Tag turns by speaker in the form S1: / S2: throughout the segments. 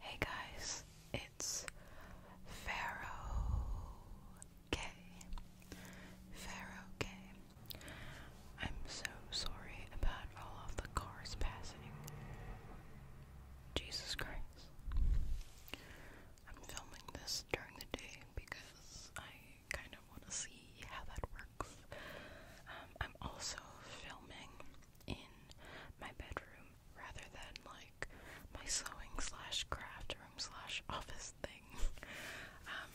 S1: Hey guys, it's Pharaoh K. Pharaoh K. I'm so sorry about all of the cars passing. Jesus Christ. I'm filming this during the day because I kind of want to see how that works. Um, I'm also filming in my bedroom rather than like my sewing slash craft room slash office thing. um,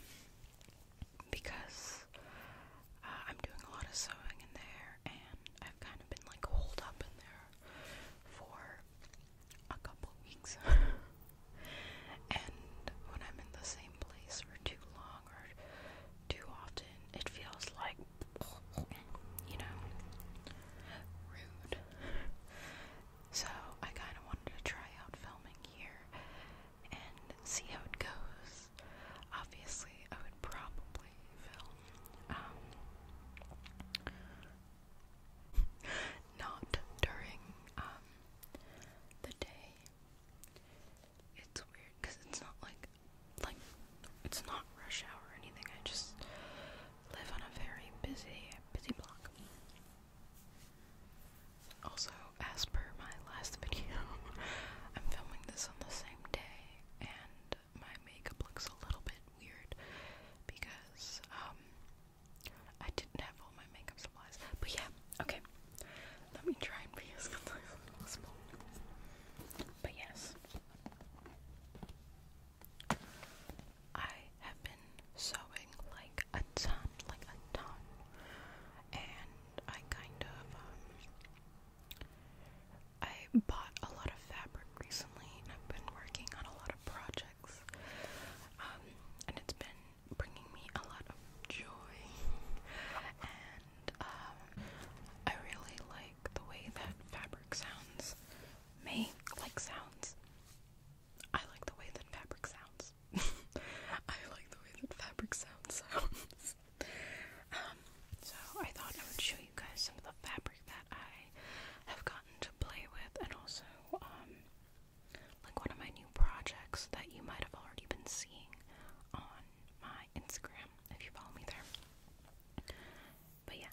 S1: because uh, I'm doing a lot of sewing in there and I've kind of been like holed up in there for a couple weeks. and when I'm in the same place for too long, too often, it feels like, you know, rude. So I kind of wanted to try out filming here and see how it goes. Obviously, I would probably film. Um, not during um, the day. It's weird because it's not like like it's not rush hour or anything. I just live on a very busy, busy block. Also, as per my last video, I'm filming this on the same day, and my makeup looks a little bit weird because um I didn't have all my makeup supplies. But yeah, okay. Let me try and be as concise as possible. But yes, I have been sewing like a ton, like a ton, and I kind of um, I bought a lot of fabric recently, and I've been working on a lot of projects, um, and it's been bringing me a lot of joy, um, I really like the way that fabric sounds. Make like sounds. I like the way that fabric sounds. I like the way that fabric sounds sounds. Um, so I thought I would show you guys some of the fabric that I have gotten to play with, and also um, like one of my new projects that you might have already been seeing on my Instagram if you follow me there. But yeah,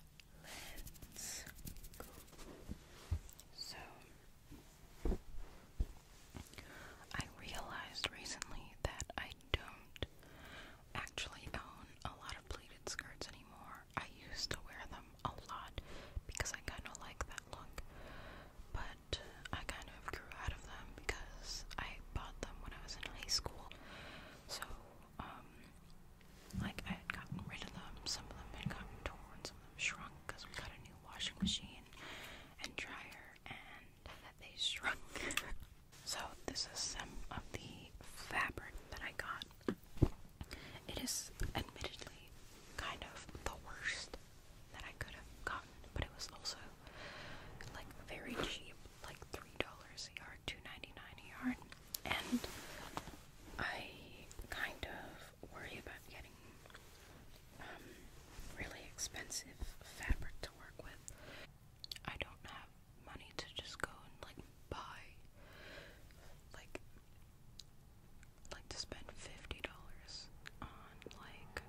S1: So, I realized recently that I don't actually own a lot of pleated skirts anymore. I used to wear them a lot because I kind of like that look, but but I kind of grew out of them because I bought them when I was in high school. So, um, like, I had gotten rid of them. Some of them had gotten torn, some of them shrunk because we got a new washing machine and dryer, and they shrunk. so, this is some of the fabric that I got. It is admittedly kind of the worst that I could have gotten, but it was also like very cheap, like three dollars a yard, two ninety nine a yard, and I kind of worry about getting um, really expensive fabric to work with. I don't have money to just go and like buy like like to spend fifty dollars on like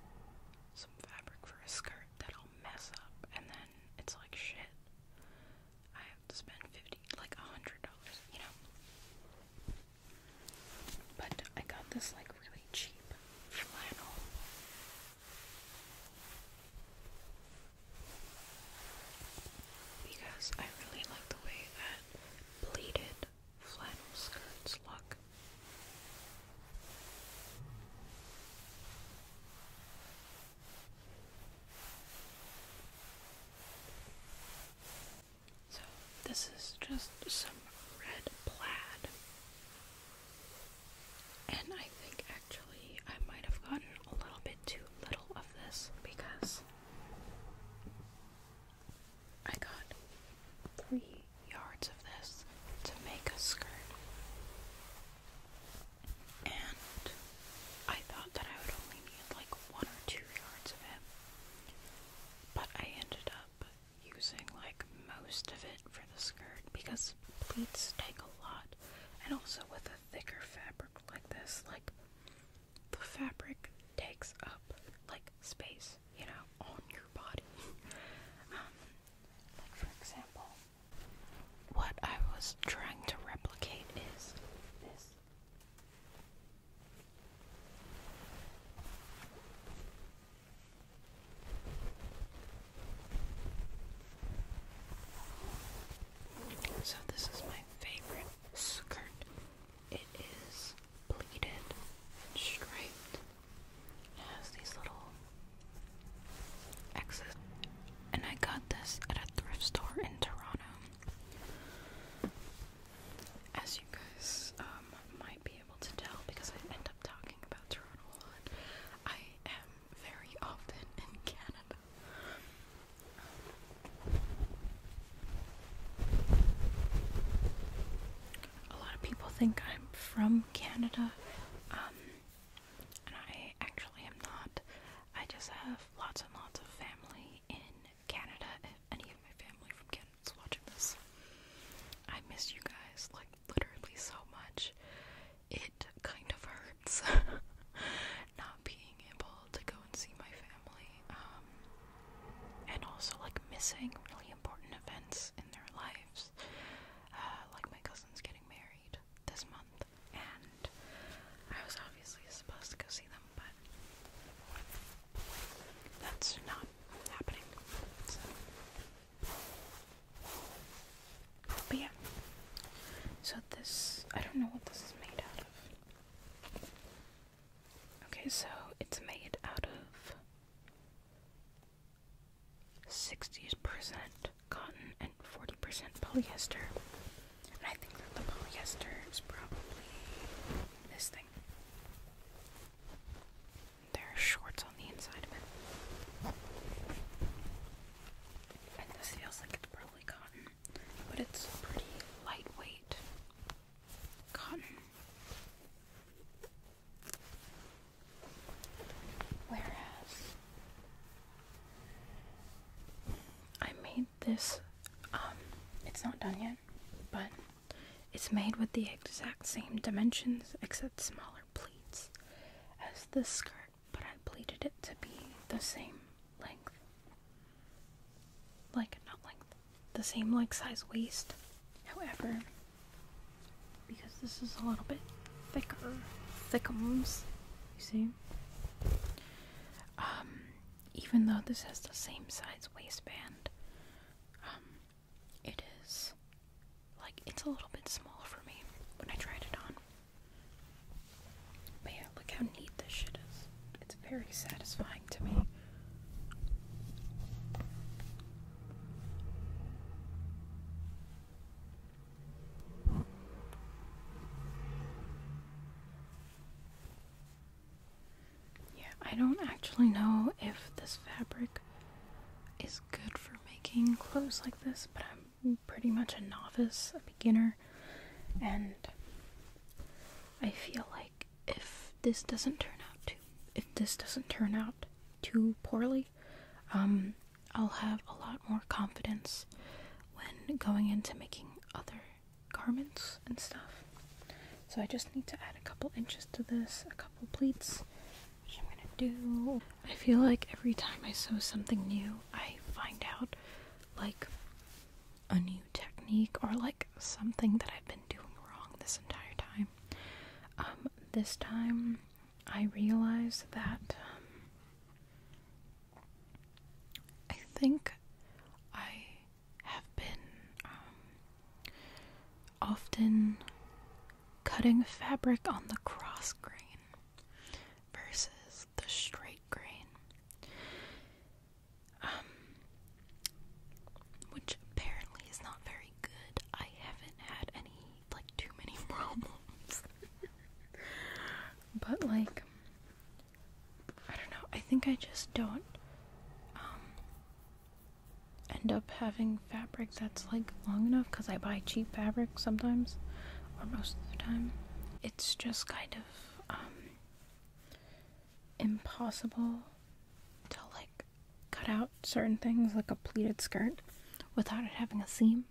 S1: some fabric for a skirt that will mess up and then it's like shit. I have to spend fifty like a hundred dollars, you know. But I got this like really cheap flannel. Because I really like the way that pleated flannel skirts look. So, this is just some red plaid. And I think actually I might have gotten a little bit too little of this because I got three yards of this to make a skirt. And I thought that I would only need like one or two yards of it, but I ended up using like most of it for the skirt because pleats take a lot, and also with a thicker fabric like this, like the fabric takes up like space, you know, on your body. Um, like, for example, what I was trying to replicate is this. So, this is my favorite skirt. It is pleated and striped has these little X's. And I got this at a thrift store in Toronto. As you guys um, might be able to tell, because I end up talking about Toronto a lot, I am very often in Canada a lot of people think I'm from Canada, um, and I actually am not. I just have lots and lots of family in Canada. If any of my family from Canada is watching this, I miss you guys like literally so much. It kind of hurts not being able to go and see my family, um, and also like missing really important events in their lives. Uh, like my cousin's getting married this month, and I was obviously supposed to go see them, but that's not happening. So. yeah, so this, I don't know what this is made out of. Okay, so it's made out of 60% cotton and 40% polyester. And I think that the polyester is probably this thing. There are shorts on the inside of it. And this feels like it's probably cotton, but it's pretty lightweight cotton. Whereas I made this, um, it's not done yet, but it's made with the exact same dimensions except smaller pleats as the skirt, but I pleated it to be the same length. Like, not length, the same like size waist. However, because this is a little bit thicker, thickums. You see? Um, even though this has the same size waistband, um, it is like it's a little bit small for me when I tried it on. But yeah, look how neat this shit is. It's very satisfying to me. Yeah, I don't actually know if this fabric is good for making clothes like this, but I'm pretty much a novice, a beginner, and I feel like if this doesn't turn out too if this doesn't turn out too poorly, um, I'll have a lot more confidence when going into making other garments and stuff. So I just need to add a couple inches to this, a couple pleats, which I'm gonna do. I feel like every time I sew something new, I find out like a new technique or like something that I've been doing wrong this entire time. Um, this time I realized that um, I think I have been um, often cutting fabric on the cross grain versus the straight grain which apparently is not very good. I haven't had any, like, too many problems. but, like, I don't know. I think I just don't um, end up having fabric that's, like, long enough because I buy cheap fabric sometimes, or most of the time. It's just kind of um, impossible to, like, cut out certain things like a pleated skirt without it having a seam.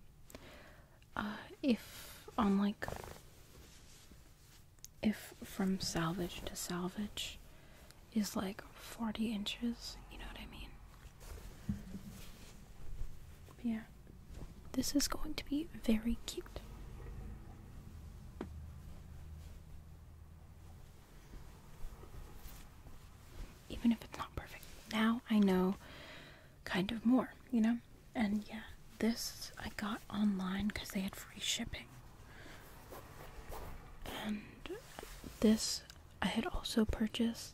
S1: Uh, if on um, like if from salvage to salvage is like 40 inches, you know what I mean? yeah, this is going to be very cute even if it's not perfect. Now I know kind of more, you know? And yeah, this I got online because they had free shipping. And this I had also purchased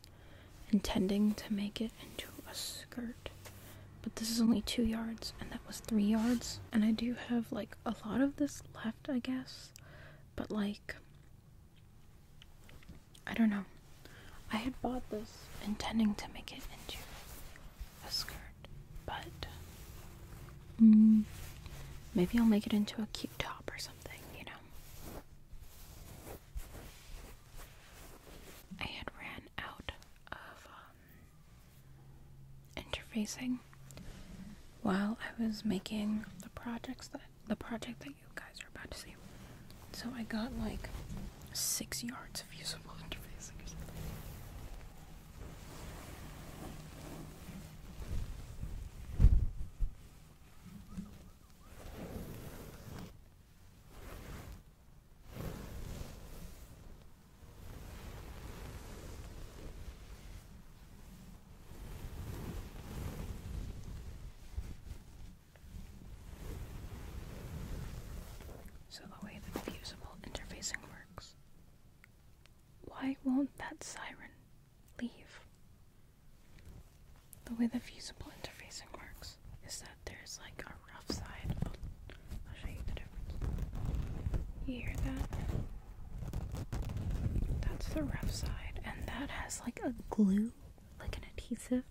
S1: intending to make it into a skirt. But this is only two yards, and that was three yards. And I do have like a lot of this left, I guess. But like I don't know. I had bought this intending to make it into a skirt, but mm, maybe I'll make it into a cute top or something, you know. I had ran out of um, interfacing while I was making the projects that the project that you guys are about to see. So I got like six yards of usable interfacing so the way the fusible interfacing works. Why won't that siren leave? The way the fusible interfacing works is that there's like a rough side. I'll, show you the difference. You hear that? That's the rough side, and that has like a glue, like an adhesive.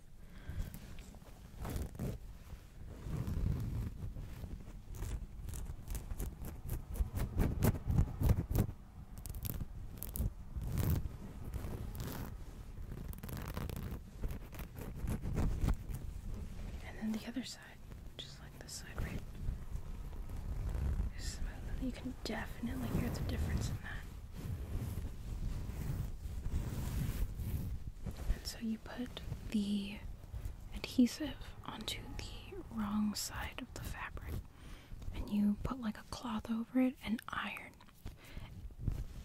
S1: And then the other side, like this side, right? you can definitely hear the difference in that. And so you put the adhesive onto the wrong side of the fabric, and you put like a cloth over it and iron,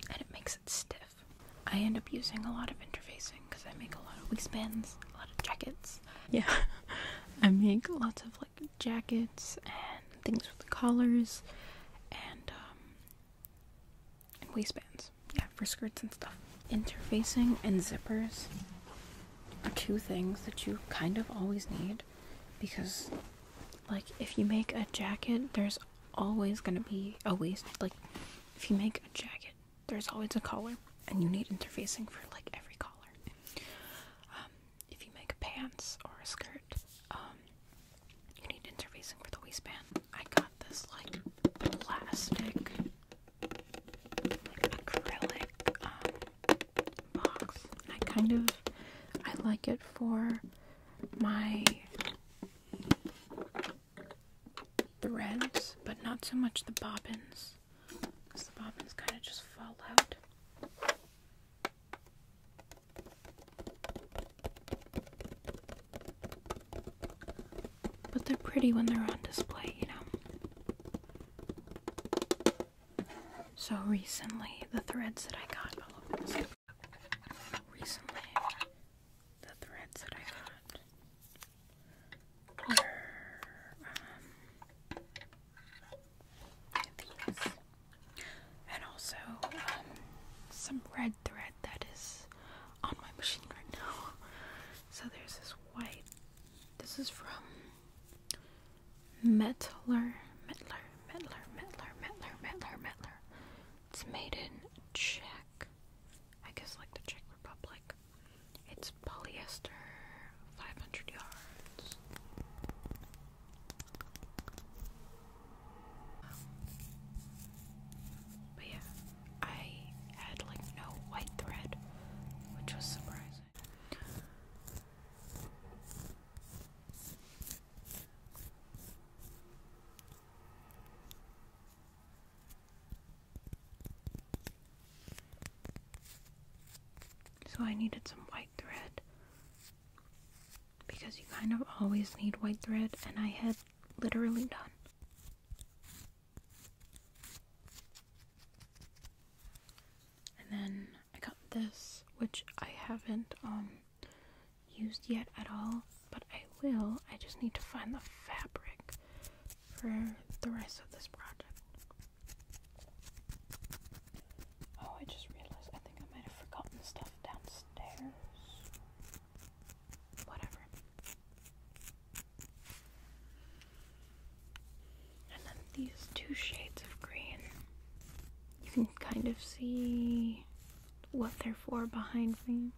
S1: and it makes it stiff. I end up using a lot of interfacing because I make a lot of waistbands, a lot of jackets. Yeah, I make lots of like jackets and things with collars um, and waistbands. Yeah, for skirts and stuff. Interfacing and zippers are two things that you kind of always need because like if you make a jacket, there's always going to be a waist like if you make a jacket, there's always a collar and you need interfacing for like every collar. Um, if you make pants or a skirt, um, you need interfacing for the waistband. I got this like plastic, acrylic um, box. I kind of I like it for my threads, but not so much the bobbins because the bobbins kind of just fall out. But they're pretty when they're on display, you know. So recently, the threads that I got, Recently, the threads that I got and also um, some red thread that is on my machine right now. So there's this white. This is from Mettler, Mettler, Mettler, Mettler, Mettler, Mettler, Mettler. It's made in Czech. I guess like the Czech Republic. It's polyester, 500 yards. but yeah, I had like no white thread, which was surprising. So I needed some white thread because you kind of always need white thread, and I had literally none. And then I got this, which I haven't um, used yet at all, but I will. I just need to find the fabric for the rest of this project. Oh, I just realized I think I might have forgotten stuff downstairs. Whatever. And then these two shades of green. You can kind of see what they're for behind me.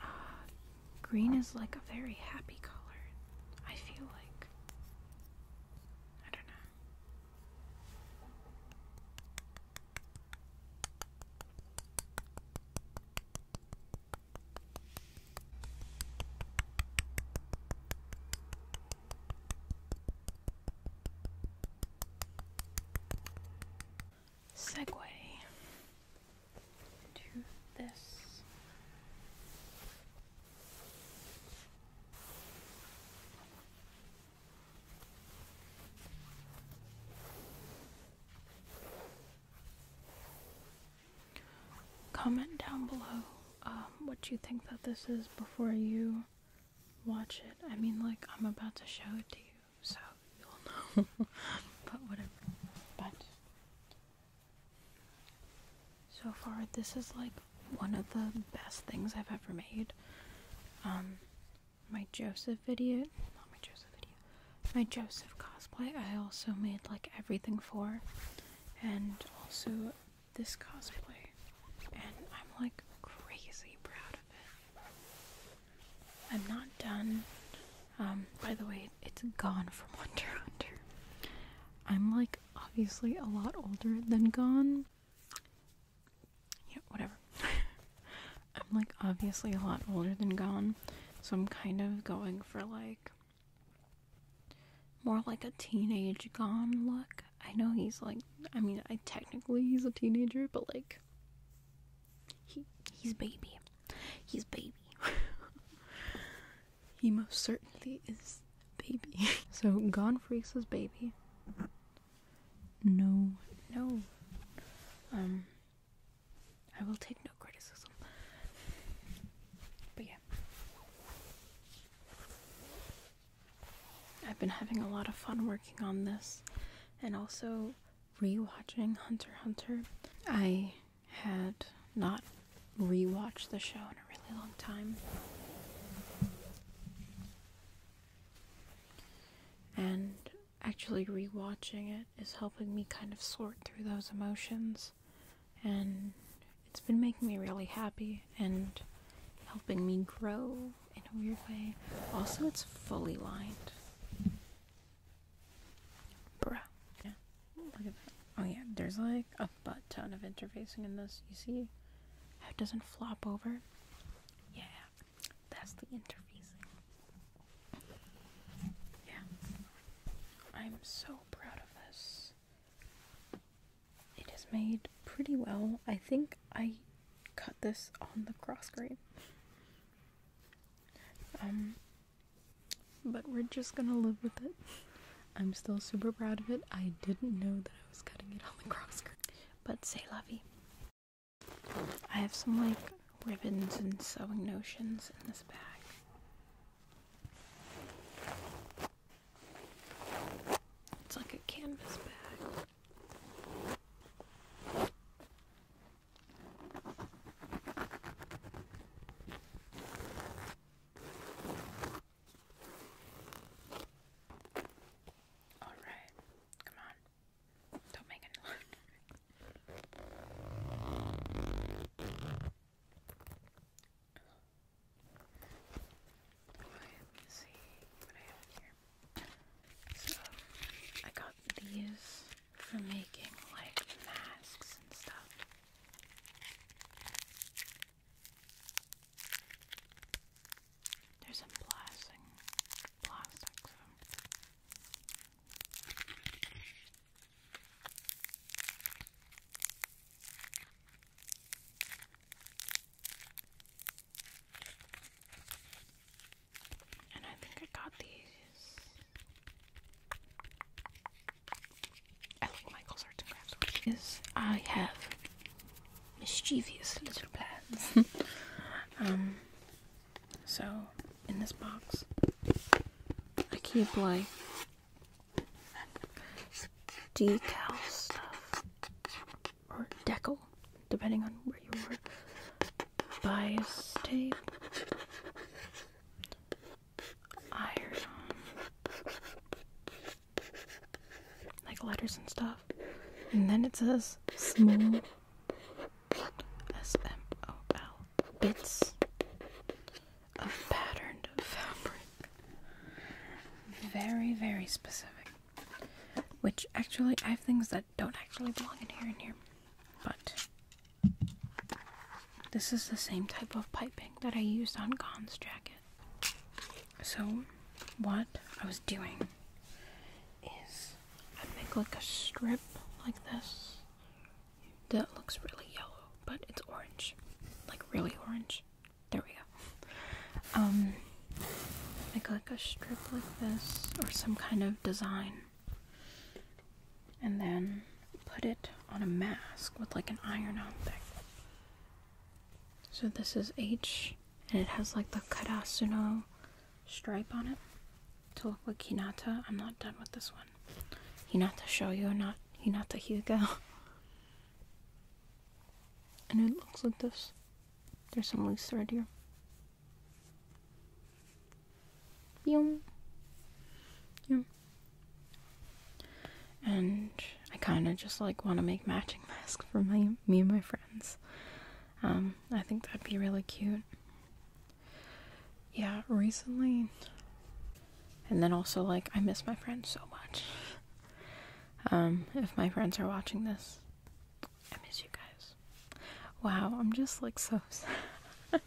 S1: Uh, green is like a very happy color, I feel like. I don't know segue to this. Comment down below um, what you think that this is before you watch it. I mean, like, I'm about to show it to you so you'll know. but whatever. But so far, this is like one of the best things I've ever made. Um, my Joseph video, not my Joseph video, my Joseph cosplay. I also made like everything for, and also this cosplay, and I'm like crazy proud I'm not done. Um, by the way, it's Gone from Hunter Hunter. I'm like obviously a lot older than Gone. Yeah, whatever. I'm like obviously a lot older than Gone, so I'm kind of going for like more like a teenage Gone look. I know he's like, I mean, I technically he's a teenager, but like he he's baby. He's baby. he most certainly is baby. so Gone Freaks was baby. No, no. Um I will take no criticism. But yeah. I've been having a lot of fun working on this and also rewatching Hunter Hunter. I had not rewatched the show in a really long time. And actually rewatching it is helping me kind of sort through those emotions and it's been making me really happy and helping me grow in a weird way. Also, it's fully lined. Bruh. Yeah. Look at that. Oh, yeah, there's like a butt ton of interfacing in this. You see it doesn't flop over? Yeah, that's the interfacing. Yeah. I'm so proud of this. It is made pretty well. I think I cut this on the cross grain. Um, but we're just gonna live with it. I'm still super proud of it. I didn't know that I was cutting it on the cross grain. But say lovey. I have some like ribbons and sewing notions in this bag. It's like a canvas bag. All right, come on. Don't make any loud noise let me see what I have here. So, I got these for making like masks and stuff. There's some plastic, plastic. So. And I think I got these. I like Michael's Arts and because I have mischievous little plans. um, so in this box, I keep like details stuff or decal, depending on where you are. Bias tape, iron, like letters and stuff. And then it says small S M O L bits of patterned fabric. Very, very specific. Which actually, I have things that don't actually belong in here and here. But this is the same type of piping that I used on Gon's jacket. So, what I was doing is I make like a strip like this that looks really yellow, but it's orange. Like, really orange. There we go. Um, make like a strip like this or some kind of design. And then put it on a mask with like an iron on thing. So this is H and it has like the Karasuno stripe on it to look like Hinata. I'm not done with this one. Hinata show you, not Hinata Hyuga. and it looks like this. There's some loose thread here. Yum. Yum. And I kind of just like want to make matching masks for my me and my friends. Um, I think that'd be really cute. Yeah, recently. And then also like I miss my friends so much. Um, if my friends are watching this, I miss you guys. Wow, I'm just like so sad.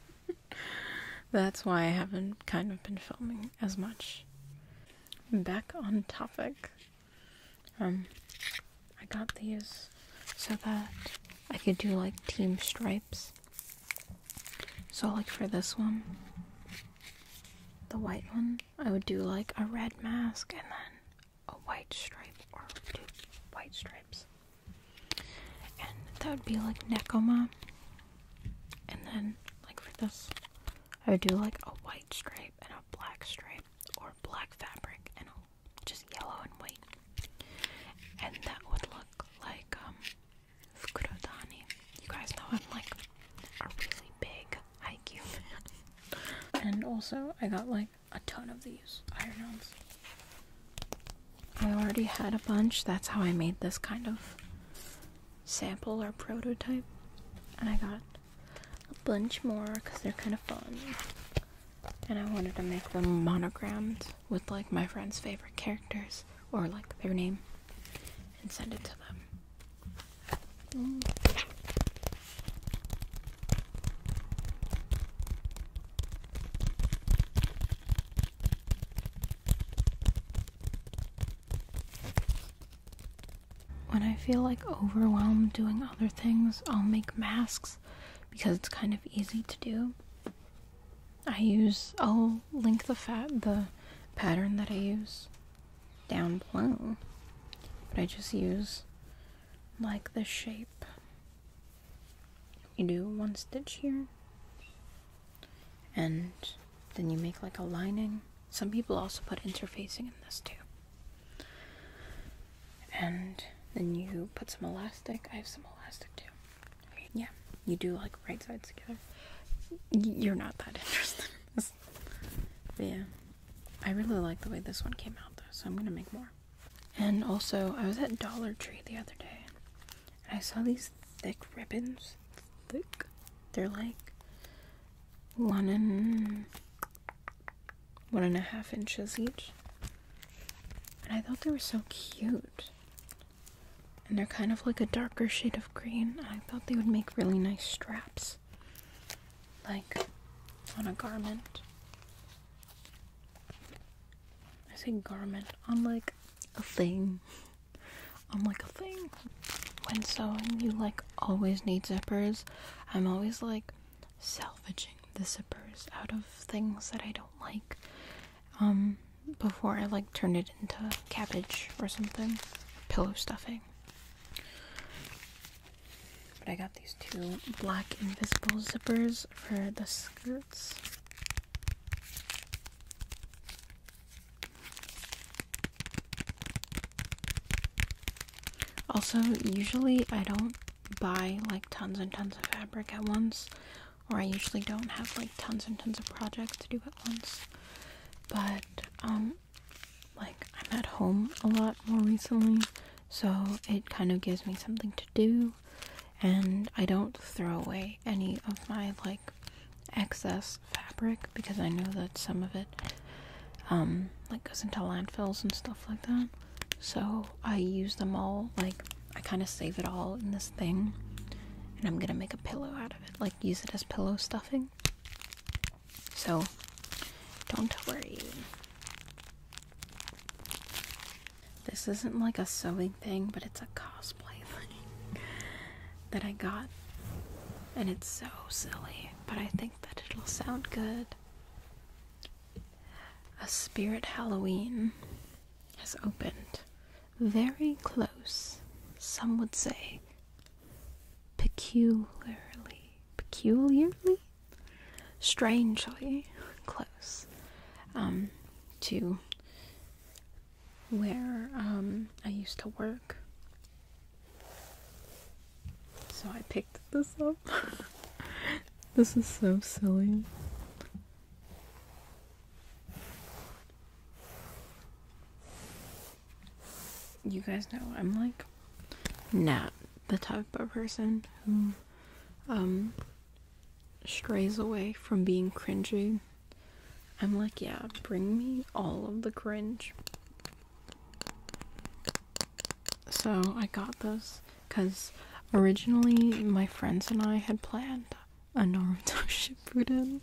S1: That's why I haven't kind of been filming as much. Back on topic. Um, I got these so that I could do like team stripes. So, like for this one, the white one, I would do like a red mask and then a white stripe or two white stripes. And that would be like Nekoma. And then like for this I would do like a white stripe and a black stripe or black fabric and just yellow and white. And that would look like um You guys know I'm like a really big Haikyuu fan. and also, I got like a ton of these iron-ons. I already had a bunch, that's how I made this kind of sample or prototype. And I got a bunch more because they're kind of fun. And I wanted to make them monograms with like my friend's favorite characters or like their name and send it to them. When I feel like overwhelmed doing other things, I'll make masks because it's kind of easy to do. I use, I'll link the fat, the pattern that I use down below. But I just use like the shape. You do one stitch here and then you make like a lining. Some people also put interfacing in this too. And then you put some elastic. I have some elastic too. Yeah, you do like right sides together.
S2: You're not
S1: that interested but yeah. I really like the way this one came out though, so I'm gonna make more. And also, I was at Dollar Tree the other day, and I saw these thick ribbons. Thick. They're like one and one and a half inches each. And I thought they were so cute. And they're kind of like a darker shade of green. I thought they would make really nice straps like on a garment. I say garment on like a thing. On like a thing. When sewing, you like always need zippers. I'm always like salvaging the zippers out of things that I don't like. Um, before I like turn it into cabbage or something, pillow stuffing. But I got these two black invisible zippers for the skirts. Also, usually I don't buy like tons and tons of fabric at once, or I usually don't have like tons and tons of projects to do at once. But um, like I'm at home a lot more recently, so it kind of gives me something to do, and I don't throw away any of my like excess fabric because I know that some of it um like goes into landfills and stuff like that. So I use them all like I kind of save it all in this thing and I'm going to make a pillow out of it, like use it as pillow stuffing. So don't worry. This isn't like a sewing thing, but it's a cosplay thing that I got. And it's so silly, but I think that it'll sound good. A Spirit Halloween has opened. Very close, some would say peculiarly, peculiarly, strangely close um, to where um, I used to work. So I picked this up. this is so silly you guys know I'm like not the type of person who um strays away from being cringy. I'm like, yeah, bring me all of the cringe. So I got this because originally my friends and I had planned a Naruto Shippuden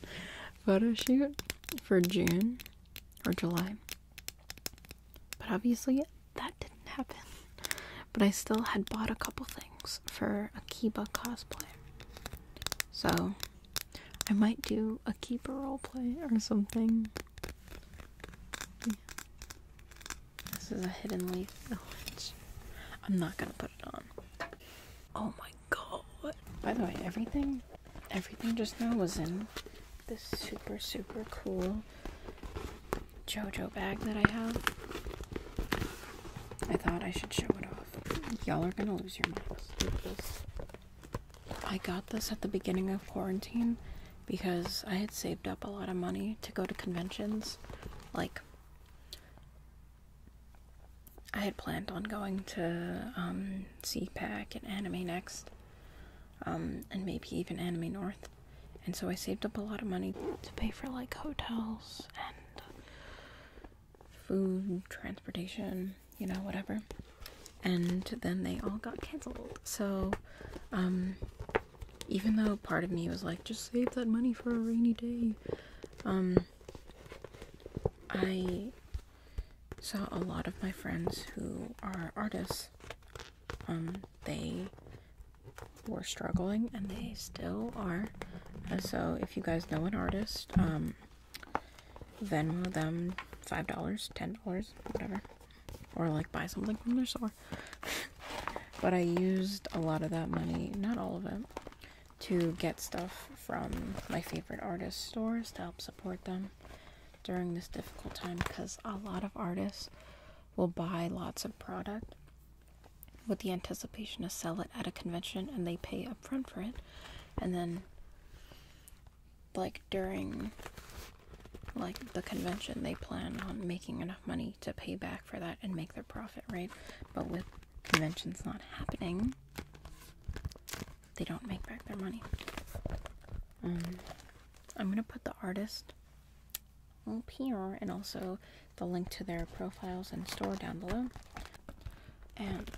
S1: photo shoot for June or July. But obviously, that didn't happen. But I still had bought a couple things for a Akiba cosplay. So, I might do a Akiba roleplay or something. This is a hidden leaf village. I'm not gonna put it on. Oh my god. By the way, everything everything just now was in this super super cool JoJo bag that I have. I thought I should show it off. Y'all are gonna lose your minds. I got this at the beginning of quarantine because I had saved up a lot of money to go to conventions. Like, I had planned on going to um, CPAC and Anime Next, um, and maybe even Anime North. And so I saved up a lot of money to pay for like hotels and food, transportation, you know, whatever. And then they all got canceled. So, um, even though part of me was like, just save that money for a rainy day, um, I so a lot of my friends who are artists, um, they were struggling and they still are. so if you guys know an artist, um, Venmo them five dollars, ten dollars, whatever, or like buy something from their store. but I used a lot of that money, not all of it, to get stuff from my favorite artist stores to help support them during this difficult time because a lot of artists will buy lots of product with the anticipation to sell it at a convention and they pay upfront for it and then like during like the convention they plan on making enough money to pay back for that and make their profit right but with conventions not happening they don't make back their money. Mm. I'm gonna put the artist here and also the link to their profiles and store down below. And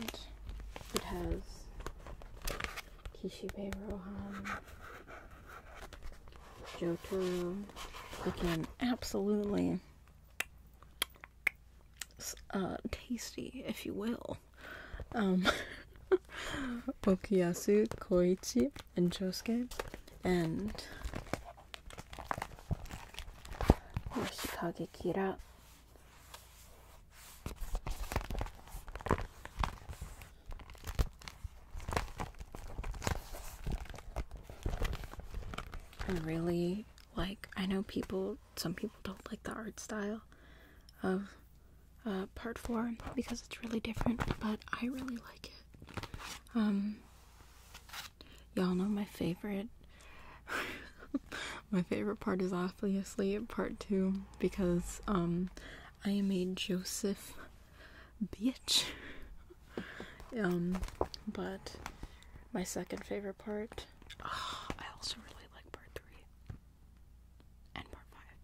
S1: it has Kishibe Rohan, Jotaro, looking absolutely uh, tasty, if you will. Um, Okuyasu, Koichi, and Josuke, and Yoshikage Kira. I really like, I know people some people don't like the art style of uh, part four because it's really different, but I really like it. Um, y'all know my favorite. my favorite part is obviously part two because um, I made Joseph bitch. Um, but my second favorite part. I also really like part three and part five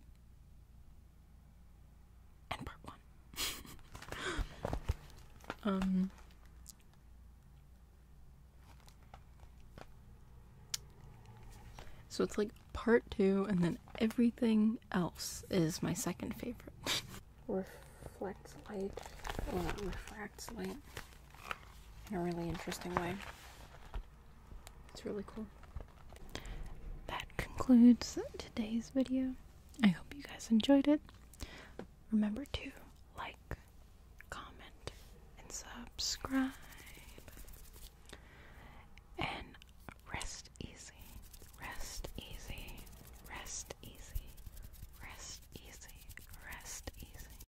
S1: and part one. um. So it's like part two, and then everything else is my second favorite. Reflects light. Well, light in a really interesting way. It's really cool. That concludes today's video. I hope you guys enjoyed it. Remember to like, comment, and subscribe. And rest easy, rest easy, rest easy, rest easy, rest easy.